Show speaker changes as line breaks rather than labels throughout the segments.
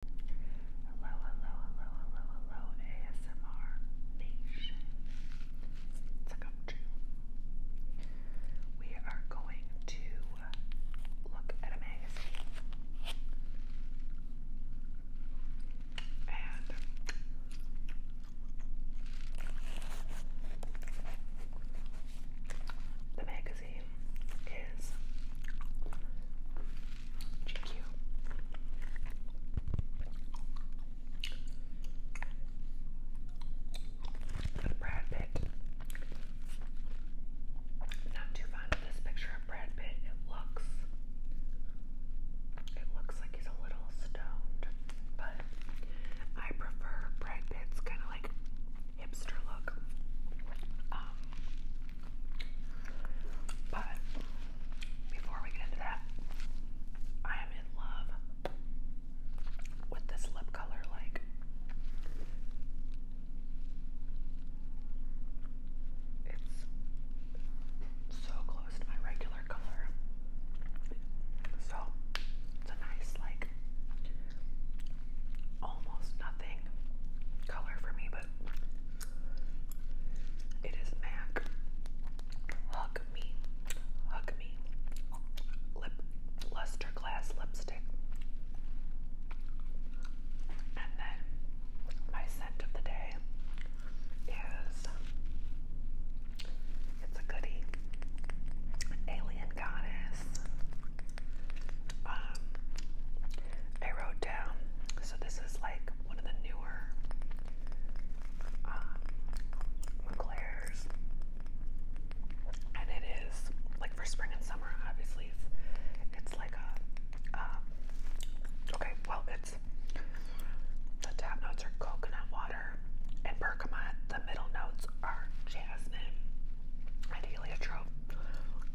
Hello, hello, hello, hello, hello, ASMR Nation. It's a We are going to look at a magazine. And the magazine is Brad Pitt. Not too fond of this picture of Brad Pitt. It looks it looks like he's a little stoned. But I prefer Brad Pitt's kind of like hipster look. Um, but before we get into that, I am in love with this lip color. Like, it's so close to my regular color. So, it's a nice, like, almost nothing color for me, but it is MAC. Hug Me. Hug Me. Lip Luster Glass Lipstick. And then my scent of the day is it's a goodie. Alien Goddess. Um, I wrote down, so this is like one of the newer um, and it is like for spring and summer. Obviously, it's, like a um, okay. Well, it's the top notes are coconut water and bergamot. The middle notes are jasmine and heliotrope.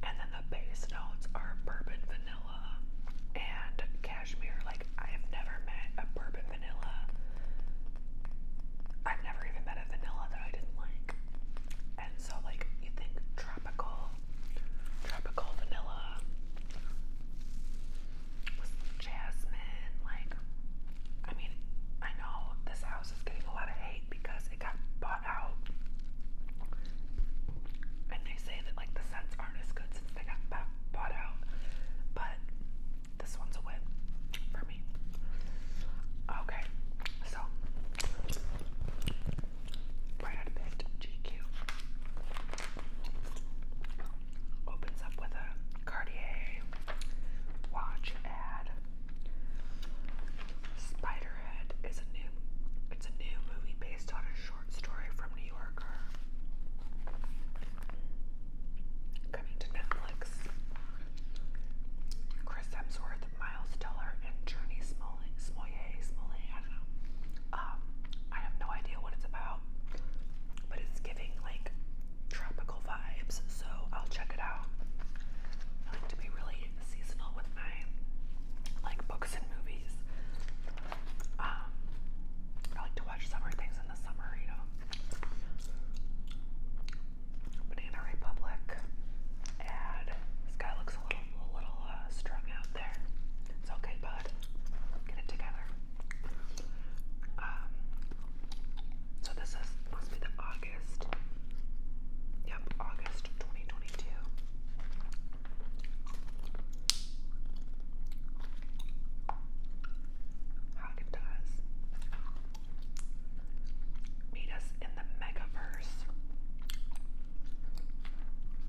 And then the base notes are bourbon vanilla and cashmere. Like, I've never met a bourbon vanilla. I've never even met a vanilla that I didn't like. And so, like, you think tropical, tropical vanilla with jasmine. Like, I mean, I know this house is getting a lot of hate because it got bought about and they say that like the scents aren't as good since they got bought out, but this one's a win for me. Okay, so right out GQ opens up with a Cartier watch ad. Spiderhead is a new it's a new movie based on a short short story from New Yorker coming to Netflix. Chris Hemsworth, Miles Teller, and Journey Smollett. Smollett, Smollett, um, I have no idea what it's about, but it's giving like tropical vibes, so I'll check it out. like to be really seasonal with my like books and movies. Um, I like to watch summer things in the summer, you know. Banana Republic ad. This guy looks a little, a little uh, strung out there. It's okay, bud. Get it together. Um, so this is must be the August. Yep, August 2022 Haagen Dazs. Meet us in the Megaverse.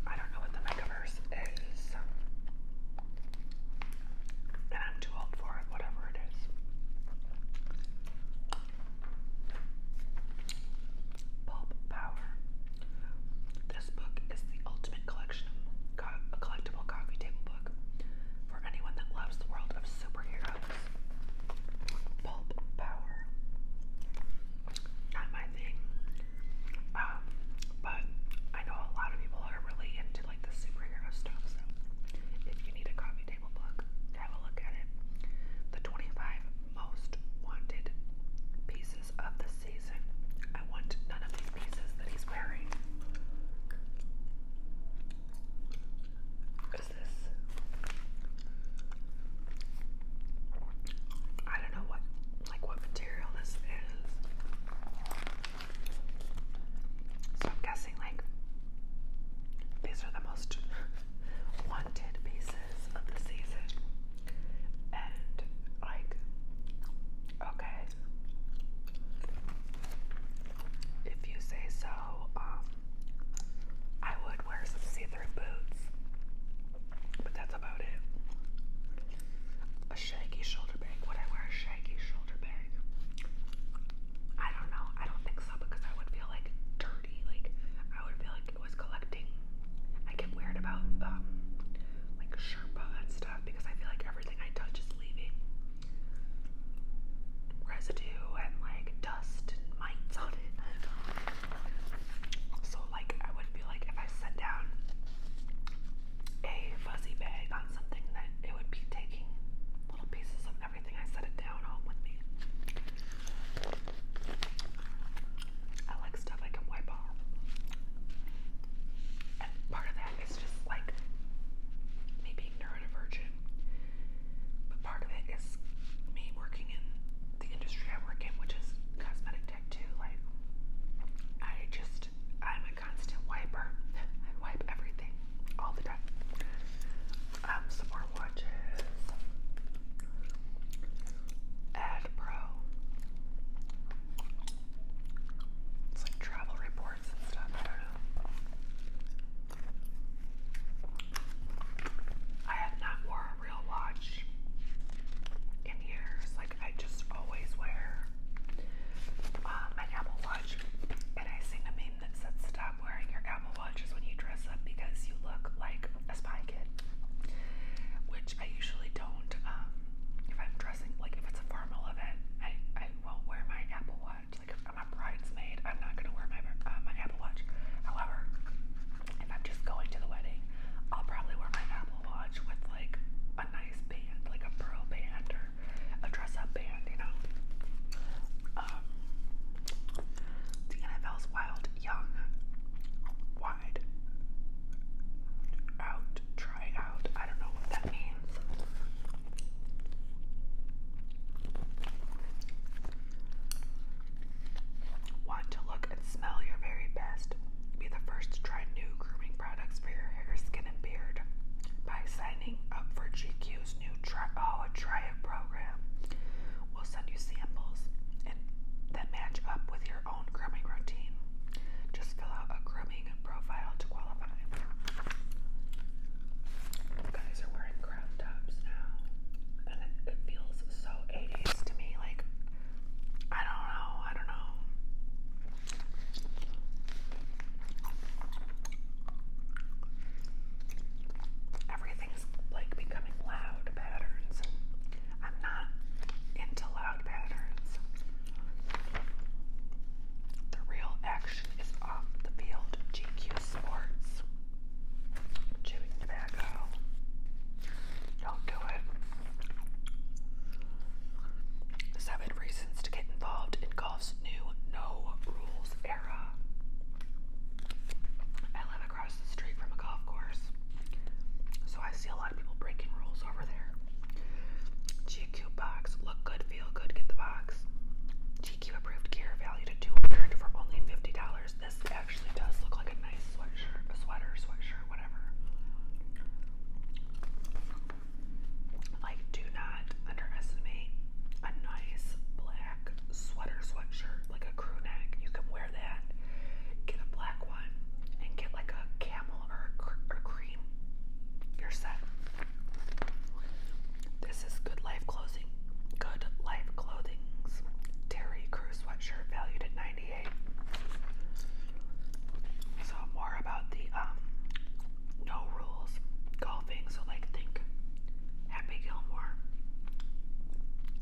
I don't know what the Megaverse is. And I'm too old for it, whatever it is. Pulp Power. This book is the ultimate collection of a collectible coffee table book for anyone that loves the world of superheroes. Pulp power. Not my thing. Um, but I know a lot of people are really into like the superhero stuff, so if you need a coffee table book, have a look at it. The 25 most wanted pieces of the season. I want none of these pieces that he's wearing. Is this? I don't know what, like what material this is. So I'm guessing like these are the most wanted pieces of the season and like okay if you say so um I would wear some see-through boots but that's about it a shaggy shoulder bag would I wear a shaggy shoulder bag I don't know I don't think so because I would feel like dirty like I would feel like was collecting. I get weird about um, like Sherpa and stuff because I feel like everything I touch is leaving residue and like dust and mites on it. So like I would feel like if I set down a fuzzy bag on something that it would be taking little pieces of everything I set it down on with me stuff I can wipe off. part of that is just like me being neurodivergent. But part of it is me working in the industry I work in, which is cosmetic tech too. Like I just I'm a constant wiper. I wipe everything all the time. Um, some more watches. Ad Pro. It's like travel reports and stuff. I don't know. I have not worn a real watch in years. Like I just always wear uh, um, my Apple Watch, and I sing a meme that said, "Stop wearing your Apple Watches when you dress up because you look like a spy kid," which I usually don't. Um, if I'm dressing, like if it's a formal event, I, I won't wear my Apple Watch. Like if I'm a bridesmaid, I'm not gonna wear my uh, my Apple Watch. However, if I'm just going to the wedding, I'll probably wear my Apple Watch with like a nice band, like a pearl band or a dress-up band, you know. Um, the NFL's wild young. Why tried out, try out. I don't know what that means. Want to look and smell your very best. Be the first to try new grooming products for your hair, skin, and beard by signing up for GQ's new try oh a try it program. We'll send you samples that match up with your your routine. Just fill out a grooming profile to qualify. guys are wearing crop tops now, and it, feels so 80s to me. Like, I don't know, I don't know. Everything's like becoming loud patterns I'm not into loud patterns. The real action is off the field. GQ Sports. Chewing tobacco. Don't do it. Seven reasons to get involved in golf's new no rules era. I live across the street from a golf course. So I see a lot of people breaking rules over there. GQ box, look good, feel good, get the box. GQ approved gear, valued at 200 for only $50. This actually does look like a nice sweatshirt, a sweater, sweatshirt, whatever. Like, do not underestimate a nice black sweater sweatshirt, like a crew neck. You can wear that, get a black one, and get like a camel or, or cream, you're set. This is Good Life Clothing. Good Life Clothing's Terry Crew sweatshirt valued at 98. So more about the um no rules golfing. So like think Happy Gilmore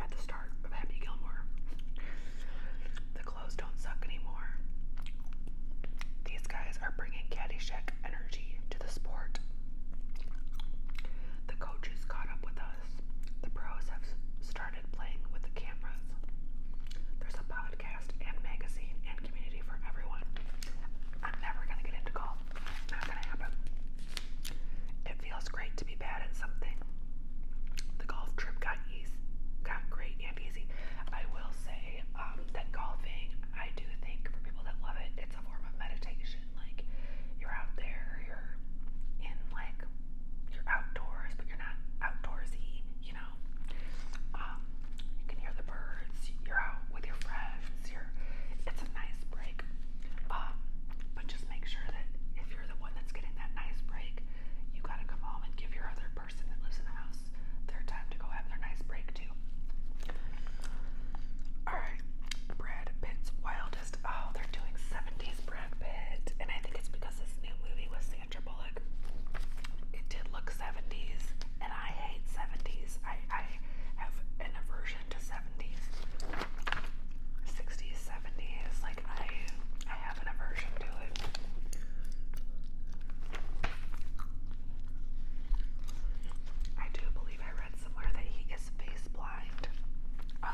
at the start of Happy Gilmore clothes don't suck anymore. These guys are bringing Caddyshack energy to the sport. The coaches caught up with us. The pros have started playing with the cameras. There's a podcast and magazine and community for everyone. I'm never gonna get into golf. Not gonna happen. It feels great to be bad at something. The golf trip got easy, got great easy. I will say um, that golfing, I do think for people that love it, it's a form of meditation. Like you're out there, you're in like you're outdoors, but you're not outdoorsy. You know, um, you can hear the birds. You're out with your friends. it's a nice break. Um, but just make sure that if you're the one that's getting that nice break, you gotta come home and give your other Alright, Brad Pitt's Wildest. Oh, they're doing 70s Brad Pitt. And I think it's because this new movie with Sandra Bullock. It did look 70s, and I hate 70s. I, I have an aversion to 70s. 60s, 70s. I have an aversion to it. I do believe I read somewhere that he is face blind. Uh,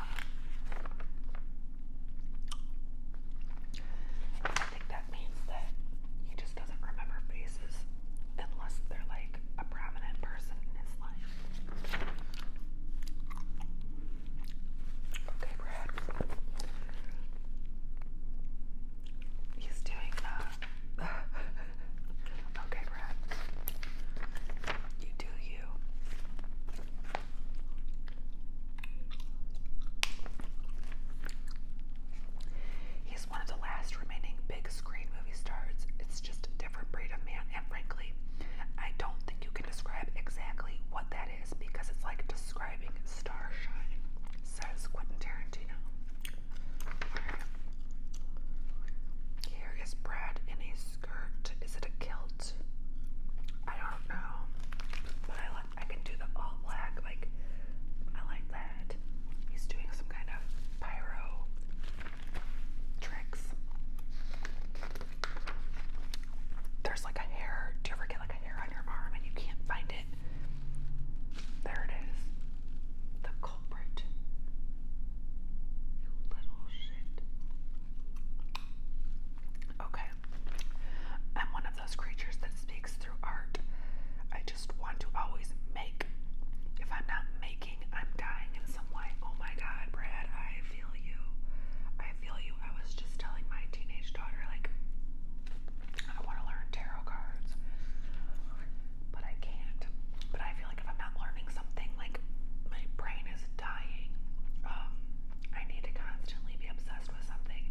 I think that means that he just doesn't remember faces unless they're like a prominent person in his life. Okay, Brad. He's doing uh Okay, Brad. You do you. He's one of the last remaining big screen movie stars. It's just a different breed of man, and frankly, I don't think you can describe exactly what that because it's like describing starshine, says Quentin Tarantino. Here is Brad in a skirt. Is it a kilt? I don't know, but I like. I can do the all black. Like I like that. He's doing some kind of pyro tricks. There's like a hair. Do you ever get like hair on your arm and you can't find it. There it is. The culprit. You little shit. Okay. I'm one of those creatures that speaks through art. I just want to always make. If I'm not making, I'm dying in some way. Oh my god, Brad, I feel you. I feel you. I was just telling my teenage daughter, like, I want to learn tarot cards, but I can't. But I feel like if I'm not learning something, like, my brain is dying. Um, I need to constantly be obsessed with something.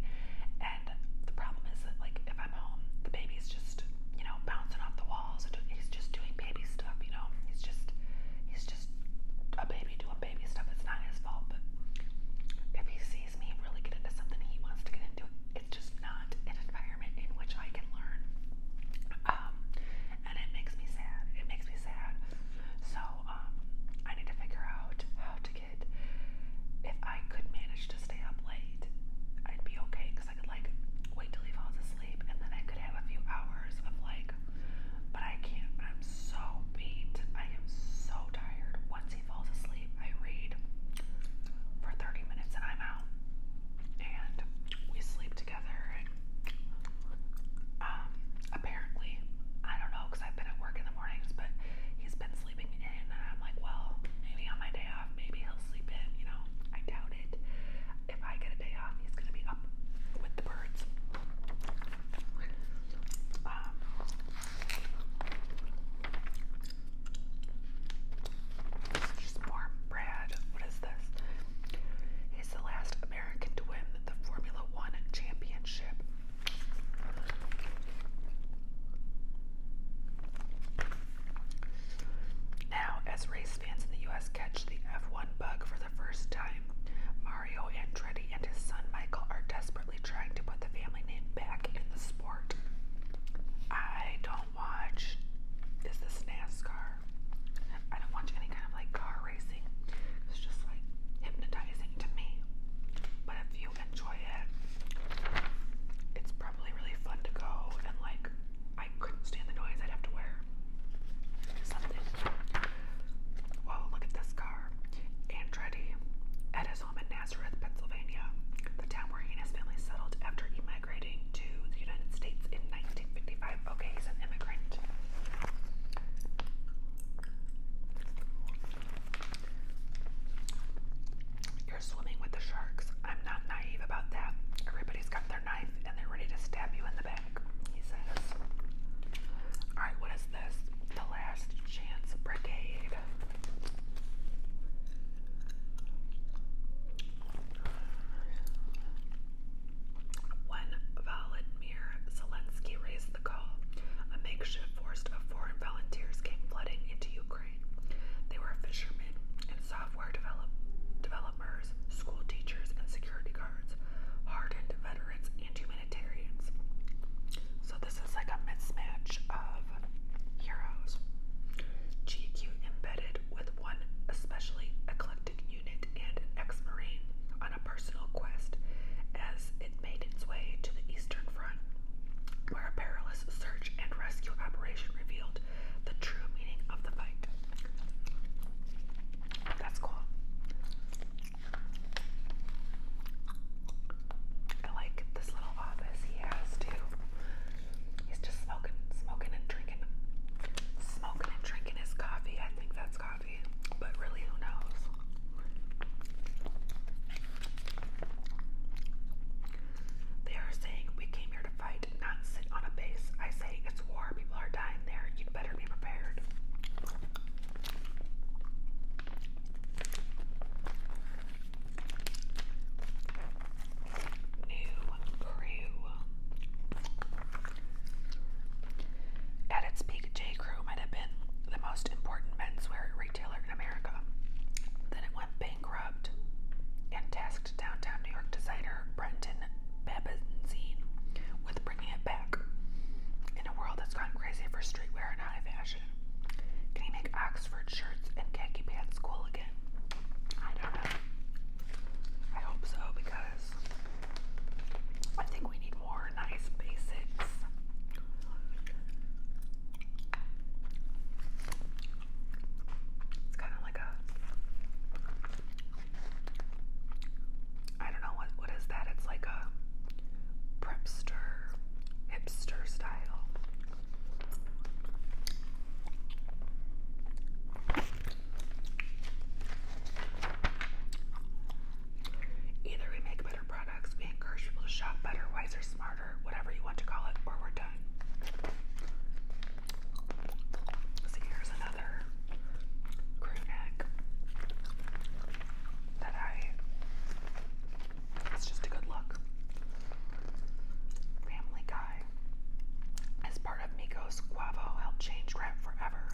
And the problem is that, like, if I'm home, the baby's just, you know, bouncing off the walls. He's just doing baby stuff, you know? He's just, he's just a baby doing baby stuff. It's not his fault, but if he sees me really get into something he wants to get into, it's just not an environment in which I can learn. Um, and it makes me sad. It makes me sad. So um, I need to figure out how to get. If I could manage to stay up late, I'd be okay because I could like wait till he falls asleep and then I could have a few hours of like. But I can't. I'm so beat. I am so tired once he falls asleep, I read for 30 minutes and I'm out. And we sleep together. And um, apparently, I don't know because I've been at work in the mornings, but he's been sleeping in. And I'm like, well, maybe on my day off, maybe he'll sleep in. You know, I doubt it. If I get a day off, he's going to be up with the birds. Um, it's just warm bread. What is this? He's the last American to win the Formula One championship. Now, as race fans in the U.S. catch the F1 bug for the first time, Mario Andretti and his son Michael are desperately trying to put the family name back in the sport. I don't watch. Is this NASCAR? I don't watch any kind of like car racing. It's just like hypnotizing to me. But if you enjoy it, it's probably really fun to go and like I couldn't stand the noise. I'd have to wear something. Whoa! Look at this car. Andretti at his home in Nazareth, Pennsylvania, the town where he and his family settled after emigrating to the United States in 1955. Okay, he's an immigrant. You're swimming with the sharks. I'm not naive about that. Everybody's got their knife and they're ready to stab you in the back, he says. Alright, what is this? The Last Chance Brigade. When Volodymyr Zelensky raised the call, a makeshift force of foreign volunteers came flooding into Ukraine. They were fishermen and software develop developers, school teachers, and security guards, hardened veterans, and humanitarians. So this is like a mismatch of heroes. GQ embedded with one especially eclectic unit and ex-marine on a personal quest as it made its way to the Eastern Front, where a perilous search and rescue operation revealed the true meaning of the fight. That's cool. I like this little office he has too. He's just smoking, smoking and drinking, smoking and drinking his coffee. I think that's coffee, but really, who knows? They are saying we came here to fight, not sit on a base. I say it's war. People are dying there. You'd better be prepared. At its peak, J. Crew might have been the most important menswear retailer in America. Then it went bankrupt and tasked downtown New York designer Brenton Babenzine with bringing it back. In a world that's gone crazy for streetwear and high fashion, can you make Oxford shirts and khaki pants cool again? I don't know. I hope so because I think we need more nice basics. It's kind of like a I don't know what what is that? It's like a prepster hipster style. Either we make better products, we encourage people to shop better, wiser, smarter, whatever you want to call it, or we're done. So here's another crew neck that I it's just a good look. Family Guy. As part of Miko's, Guavo helped change rap forever.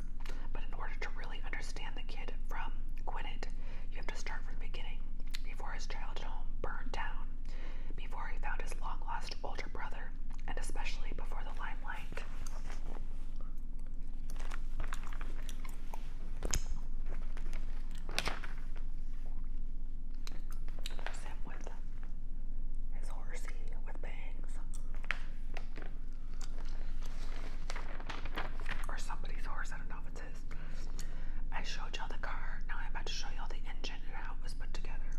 But in order to really understand the kid from Quinnet, you have to start from the beginning. Before his childhood home burned down, before he found his long lost older brother, and especially before the limelight. Sam with his horsey with bangs. Or somebody's horse, I don't know if it's his. I showed y'all the car, now I'm about to show y'all the engine and how it was put together.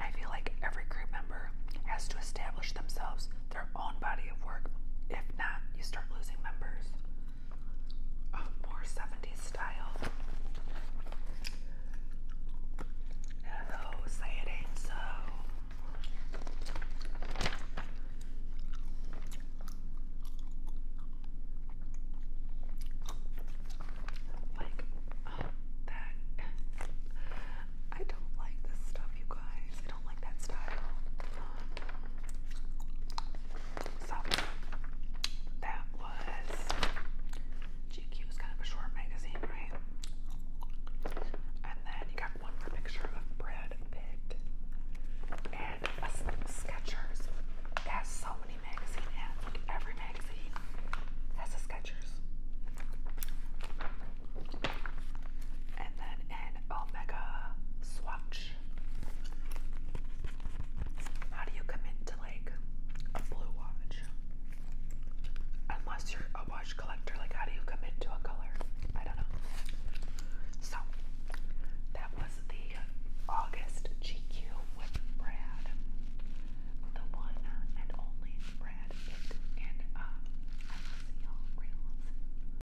I feel like every crew member has to establish themselves their own body of work. If not, you start losing members. more 70s style. Hello, say it ain't so. Like, oh, that. I don't like this stuff, you guys do um, that was GQ is kind of a short magazine, right? And then you got one more picture of Brad and a Skechers. has so many magazine ads. every magazine has a Skechers. And then an Omega swatch brush. How do you commit to like a blue watch? Unless you're a watch collector, like how do you commit to a color? I don't know. So that was the August GQ with Brad. The one and only Brad Pitt. And uh, I see y'all real soon.